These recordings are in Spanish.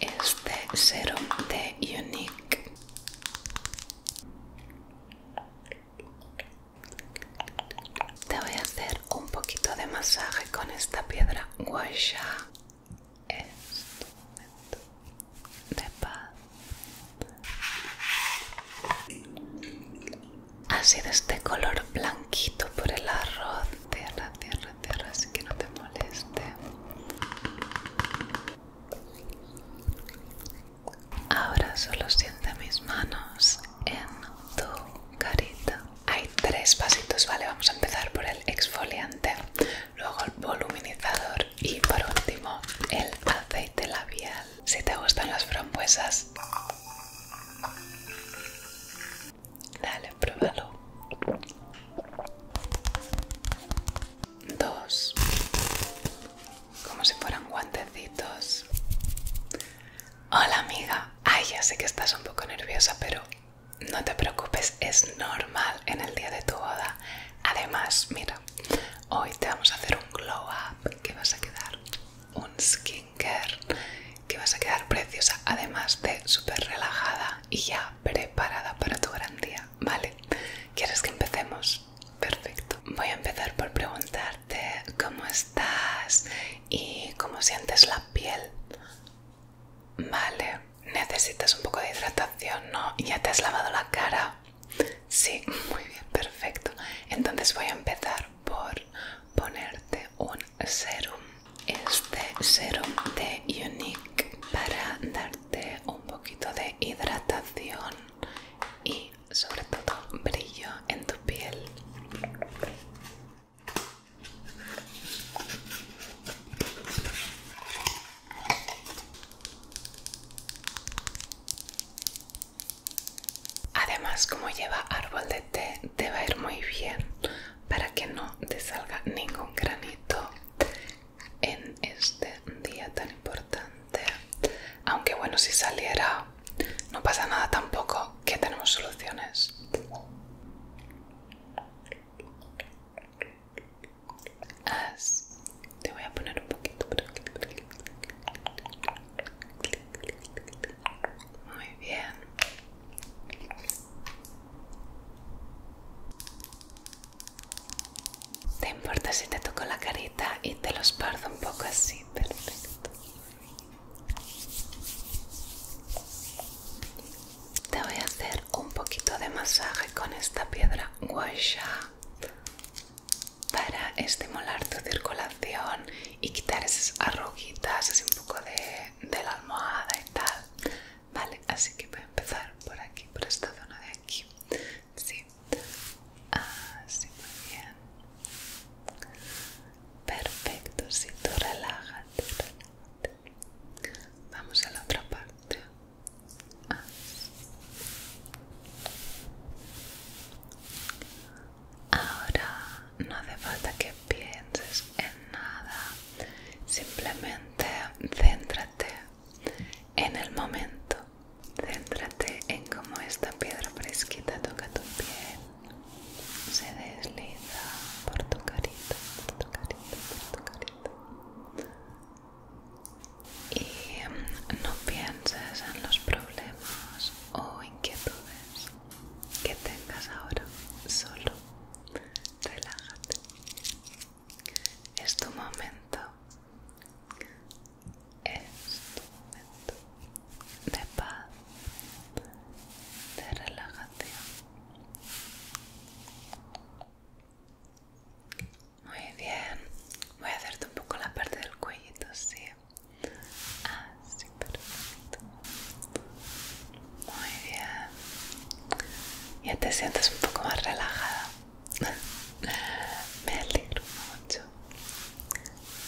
este serum de Unique te voy a hacer un poquito de masaje con esta piedra Gua Sha este de paz Así de este color blanquito por el arroz de tierra, tierra, Cierra así que no te moleste ahora solo siente mis manos en tu carita hay tres pasitos vale vamos a empezar por el exfoliante luego el voluminizador y por último el aceite labial si te gustan las frambuesas Dale, pruébalo. Dos. Como si fueran guantecitos. Hola amiga. Ay, ya sé que estás un poco nerviosa, pero no te preocupes, es normal en el día de tu boda. Además, mira, hoy te vamos a hacer un glow up que vas a quedar un care, que vas a quedar preciosa además de súper relajada y ya preparada para tu gran día, ¿vale? ¿Quieres que empecemos? Perfecto. Voy a empezar por preguntarte cómo estás y cómo sientes la piel. Vale, necesitas un poco de hidratación, ¿no? ¿Ya te has lavado la cara? Sí, muy bien, perfecto. Entonces voy a empezar por ponerte un serum este serum de Unique para darte un poquito de hidratación y sobre todo brillo en tu piel. Además, como lleva árbol de té, te va a ir muy bien para que no te salga ningún granito en este día tan importante aunque bueno si saliera no pasa nada tampoco que tenemos soluciones te voy a poner un poquito pero... Muy bien. ¿Te importa si te toco la carita y te los esparzo un poco así? Perfecto. Te voy a hacer un poquito de masaje con esta piedra guasha para estimular tu circulación y quitar esas arruguitas, así un poco de la almohada y tal. Vale, así que voy a empezar por aquí, por esta zona de aquí. Sí, así ah, muy bien. Perfecto, si tú relájate, relájate. Vamos a la otra parte. Ah, Ahora no hace falta que pienses en nada, simplemente céntrate en el momento, céntrate en cómo esta piedra fresquita toca tu piel, se desliza por tu carita, por tu carita, por tu carita. Y mm, no pienses en los problemas o inquietudes que tengas ahora, solo relájate. Es tu momento. Es tu momento de paz, de relajación. Muy bien. Voy a hacerte un poco la parte del cuellito, sí. Así, ah, perfecto. Muy bien. Ya te sientes un poco más relajada. Me alegro mucho.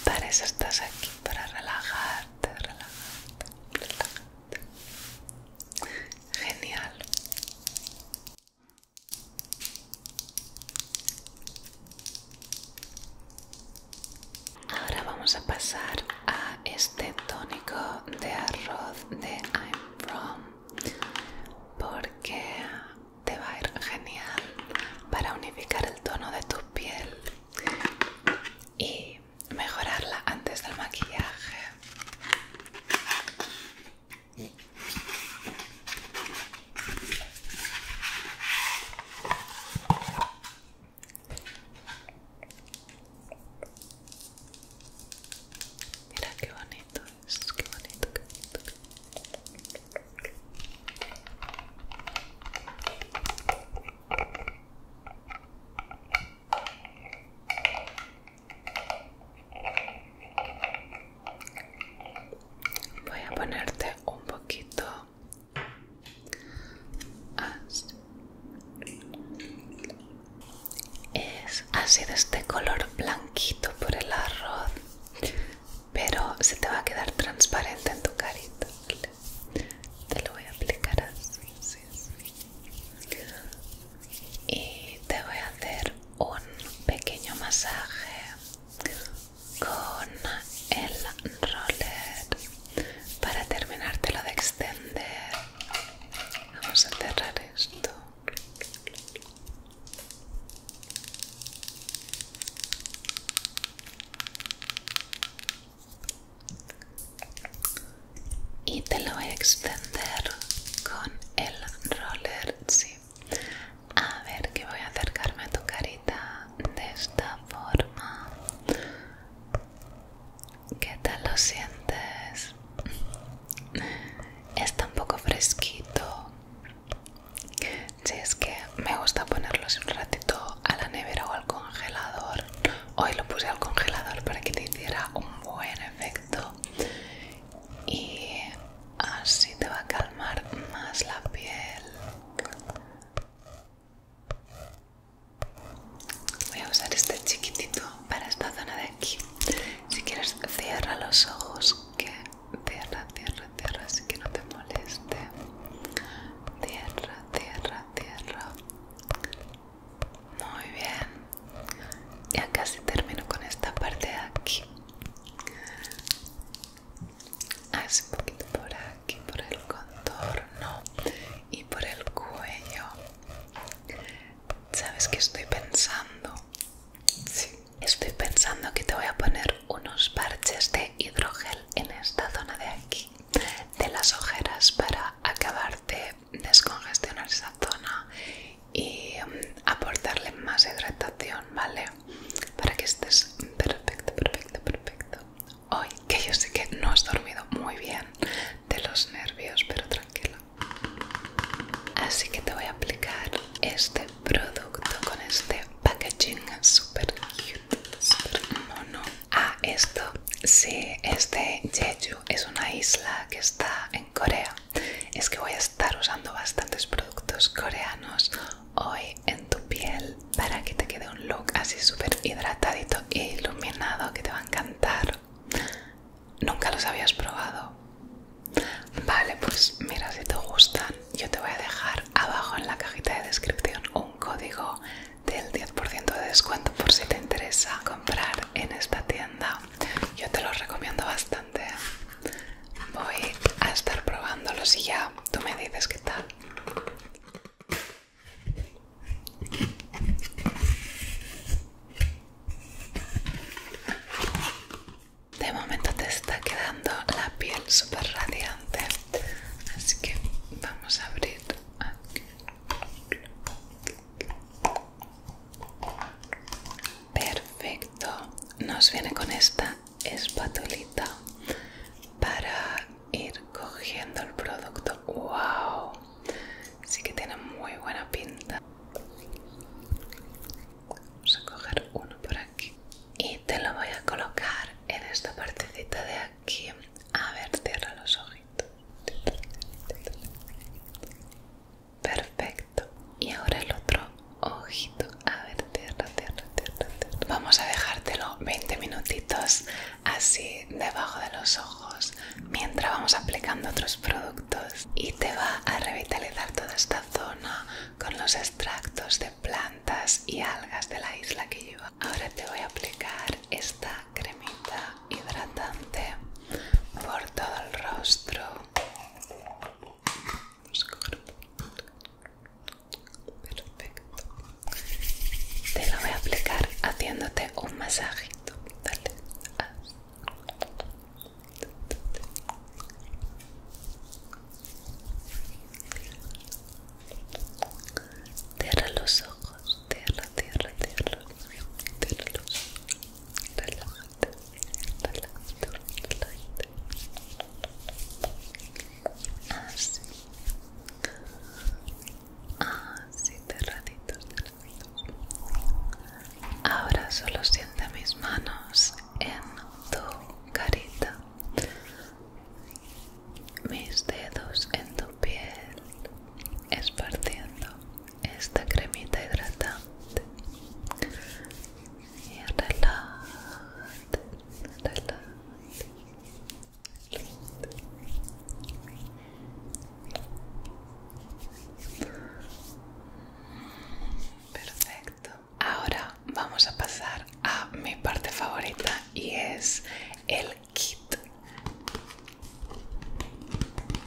Para eso estás aquí, para relajarte, relajarte, relajarte. Genial. Ahora vamos a pasar a este tónico de arroz de I'm From porque te va a ir genial para unificar el tono de tu piel y mejorarla antes del maquillaje. Mira qué bonito qué bonito, qué bonito. Voy a ponerte un poquito es, así de este color blanquito por el arroz, pero se te va a quedar transparente en tu carita. Te lo voy a aplicar así. Y te voy a hacer un pequeño masaje con el roller para terminar, te lo de extender vamos a cerrar esto y te lo voy a extender con el roller sí. a ver que voy a acercarme a tu carita de esta forma ¿Qué tal lo sientes? Está un poco fresquito. Si es que me gusta ponerlos un ratito a la nevera o al congelador. Hoy lo puse al congelador para que te hiciera un buen efecto. Y así te va a calmar más la piel. Voy a usar este chiquitito para esta zona de aquí. Si quieres, cierra los ojos. Que cierra, cierra, cierra, así que no te moleste. Cierra, cierra, cierra. Muy bien. Ya casi termino con esta parte de aquí. Haz ah, un poquito por aquí aquí por el contorno y por el cuello. ¿Sabes qué estoy pensando? Estoy pensando que te voy a poner unos parches de hidrogel en esta zona de aquí, de las ojeras, para acabar de descongestionar esa zona y mm, aportarle más hidratación, ¿vale? Para que estés perfecto, perfecto, perfecto hoy, que yo sé que no has dormido muy bien de los nervios, pero tranquilo Así que te voy a aplicar este producto con este packaging super cute, super mono. Ah, esto, sí, este Jeju es una isla que está en Corea. Es que voy a estar usando bastantes productos coreanos hoy en tu piel para que te quede un look así súper hidratadito e iluminado que te va a encantar. Nunca los habías probado. Vale, pues mira, si te gustan, yo te voy a dejar abajo en la cajita de descripción un código del 10% de descuento por si te interesa comprar en esta tienda. Yo te los recomiendo bastante. Voy a estar probándolos y ya tú me dices qué tal. De momento te está quedando la piel super radiante, así que vamos a abrir aquí. Perfecto, nos viene con esta espatulita para ir cogiendo el producto. ¡Wow! Sí que tiene muy buena pinta. Vamos a coger uno por aquí y te lo voy a colocar en esta partecita de aquí. A ver, cierra los ojitos. Perfecto. Y ahora el otro ojito. A ver, cierra, cierra, cierra. Vamos a dejártelo 20 minutitos así debajo de los ojos mientras vamos aplicando otros productos y te va a revitalizar toda esta zona con los extractos de plantas y algas de la isla que lleva. Ahora te voy a aplicar esta cremita hidratante por todo el rostro perfecto. Te lo voy a aplicar haciéndote un masajito. Dale. Cierra los ojos, cierra, cierra, cierra, cierra los Así, Ah, ratitos cerraditos, cerraditos. Ahora solo siente mis manos en tu carita, mis dedos en tu piel, esparciendo esta cremita hidratante. Y relájate, Perfecto. Ahora vamos a pasar a mi parte favorita y es el kit.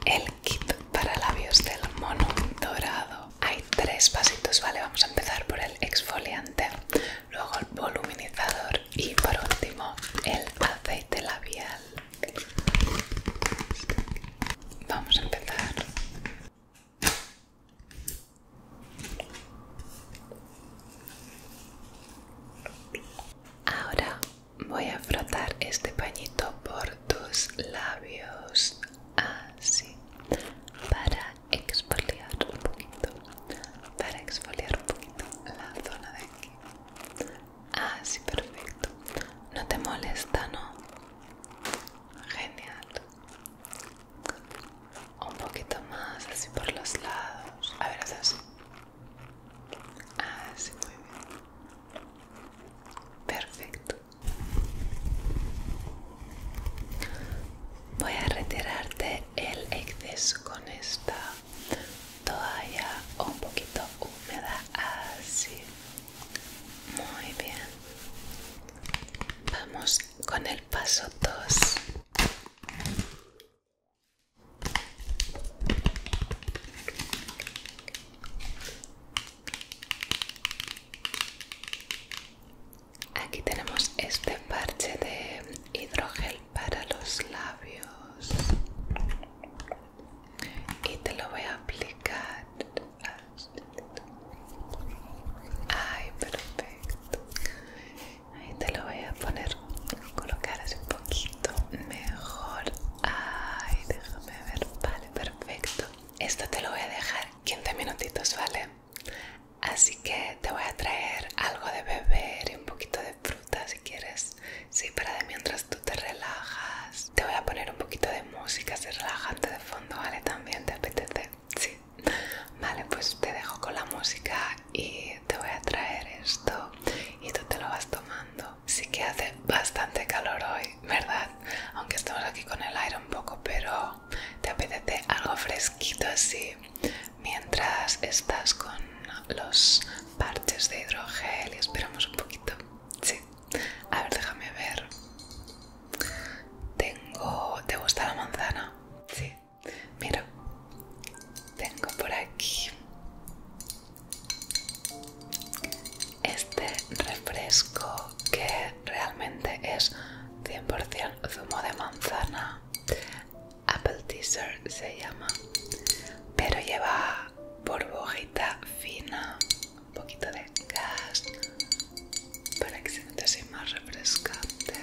El kit para labios del mono dorado. Hay tres pasitos, ¿vale? Vamos a empezar por el exfoliante, luego el voluminizador y por último el aceite labial vamos a empezar ahora voy a frotar este pañito por tus labios así para exfoliar un poquito para exfoliar un poquito la zona de aquí. así ah, perfecto. No te molesta, ¿no? Genial. Un poquito más, así por los lados. A ver, haz así. Así, ah, muy bien. Perfecto. Voy a retirarte el exceso con esta toalla un poquito húmeda así muy bien vamos con el paso 2 Aquí tenemos este parche de hidrógeno para los labios y te lo voy a aplicar ay perfecto ahí te lo voy a poner colocar así un poquito mejor ay déjame ver vale perfecto esto te lo voy a dejar 15 minutitos vale Así que te voy a traer algo de beber y un poquito de fruta si quieres. Sí, para de mientras tú te relajas. Te voy a poner un poquito de música así relajante de fondo, ¿vale? También te apetece. Sí. Vale, pues te dejo con la música y te voy a traer esto y tú te lo vas tomando. Sí que hace bastante calor hoy, ¿verdad? Aunque estamos aquí con el aire un poco, pero te apetece algo fresquito así mientras estás con los parches de hidrogel y esperamos un poquito. Sí. A ver, déjame ver. Tengo... ¿Te gusta la manzana? Sí. Mira. Tengo por aquí este refresco que realmente es 100% zumo de manzana Apple Teaser se llama, pero lleva burbujita fina, un poquito de gas para que se siente así más refrescante.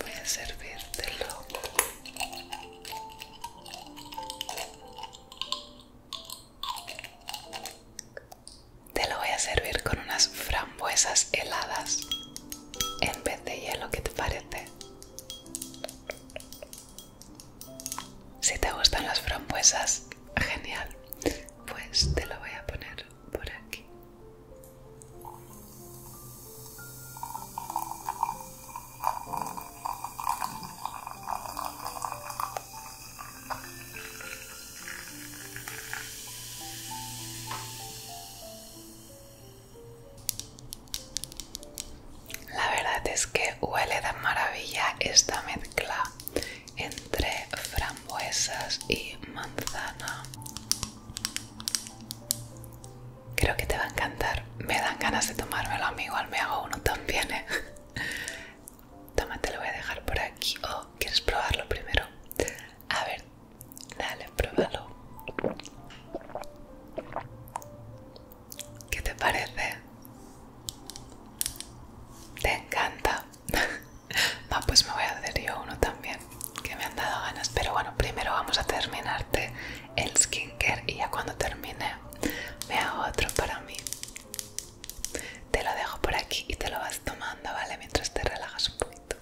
Voy a servírtelo. Te lo voy a servir con unas frambuesas heladas en vez de hielo, ¿qué te parece? Si te gustan las frambuesas, genial. Pues te lo voy a poner por aquí. La verdad es que huele de maravilla esta mezcla entre frambuesas y manzana. Creo que te va a encantar. Me dan ganas de tomármelo, amigo. igual me hago uno también, ¿eh? Toma, te lo voy a dejar por aquí. ¿O oh, quieres probarlo primero? A ver, Dale, pruébalo. ¿Qué te parece? Te encanta. No, pues me voy a hacer yo uno también, que me han dado ganas. Pero bueno, primero vamos a terminarte el skincare y ya cuando termine me hago otro para mí. Te lo dejo por aquí y te lo vas tomando, ¿vale? Mientras te relajas un poquito.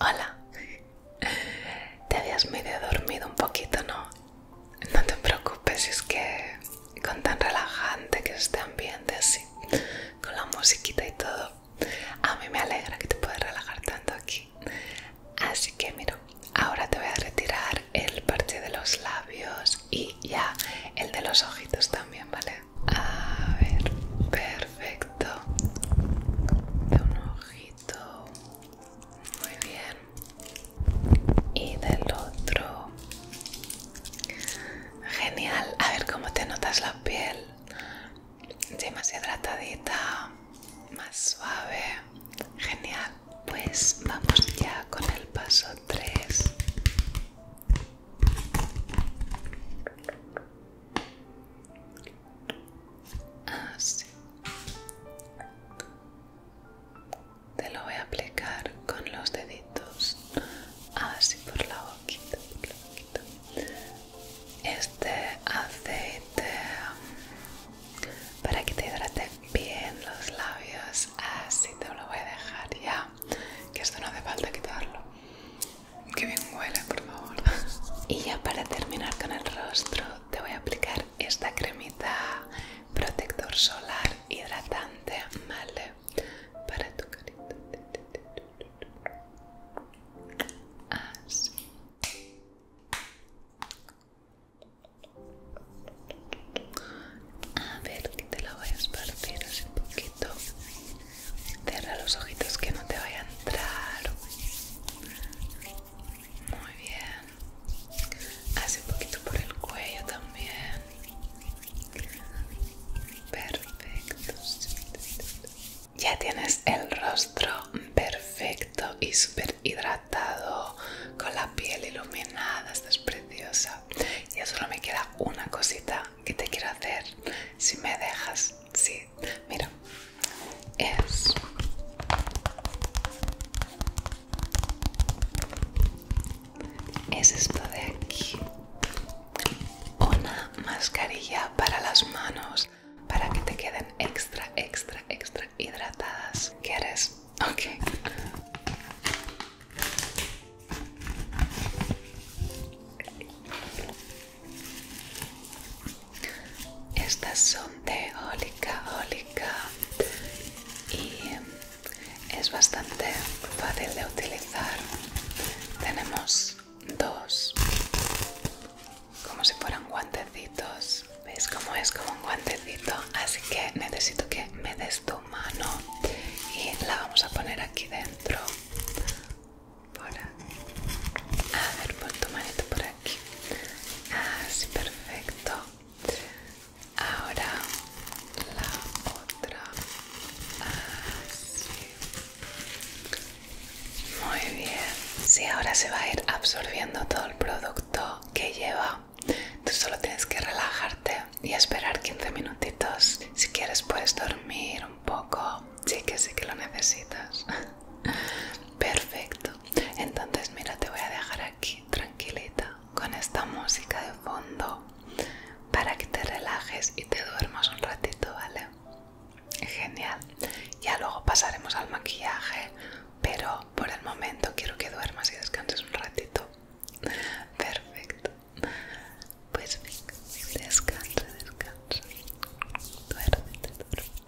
Hola, te habías medio dormido un poquito, ¿no? No te preocupes, es que con tan relajante que es este ambiente así, con la musiquita y todo, a mí me alegra que te puedas relajar tanto aquí. Así que mira, ahora te voy a retirar el parche de los labios y ya el de los ojitos también, ¿vale? A ver, perfecto. De un ojito. Muy bien y del otro. Genial. A ver cómo te notas la piel. Sí, más hidratadita, más suave. Genial. Pues vamos ya con el paso 3. Así. Te lo voy a aplicar con los deditos, así por la boquita. Este aceite mm, para que te hidrate bien los labios, así te lo voy a dejar ya, que esto no hace falta quitarlo. Que bien huele, por favor. Y ya para terminar con el rostro, te voy a aplicar esta cremita protector solar hidratante, ¿vale? Para tu carita. Así. A ver, que te lo voy a esparcir así un poquito. Cierra los ojitos que no te vaya a entrar. Muy bien. Hace un poquito por el cuello también. Perfecto. Ya tienes el rostro perfecto y súper hidratado, con la piel iluminada, estás preciosa. Ya solo me queda una cosita que te quiero hacer, si me dejas, sí. Mira, es es esto de aquí una mascarilla para las manos para que te queden extra extra extra hidratadas quieres ok estas son de ólica, ólica y es bastante fácil de utilizar. Tenemos dos, como si fueran guantecitos. ¿Veis cómo es como un guantecito? Así que necesito que me des tu mano y la vamos a poner aquí dentro. A ver, pon tu manito por aquí. Así, ah, perfecto ahora la otra así muy bien si ahora se va a ir absorbiendo todo el producto que lleva tú solo tienes que relajarte y esperar 15 minutitos si quieres puedes dormir un poco sí que sí que lo necesitas perfecto entonces mira, te voy a dejar aquí tranquilita con esta música de fondo para que te relajes y te duermas un ratito, ¿vale? Genial. Ya luego pasaremos al maquillaje, pero por el momento quiero que duermas y descanses un ratito. Perfecto. Pues venga, descansa, descansa. Duérmete, duérmete.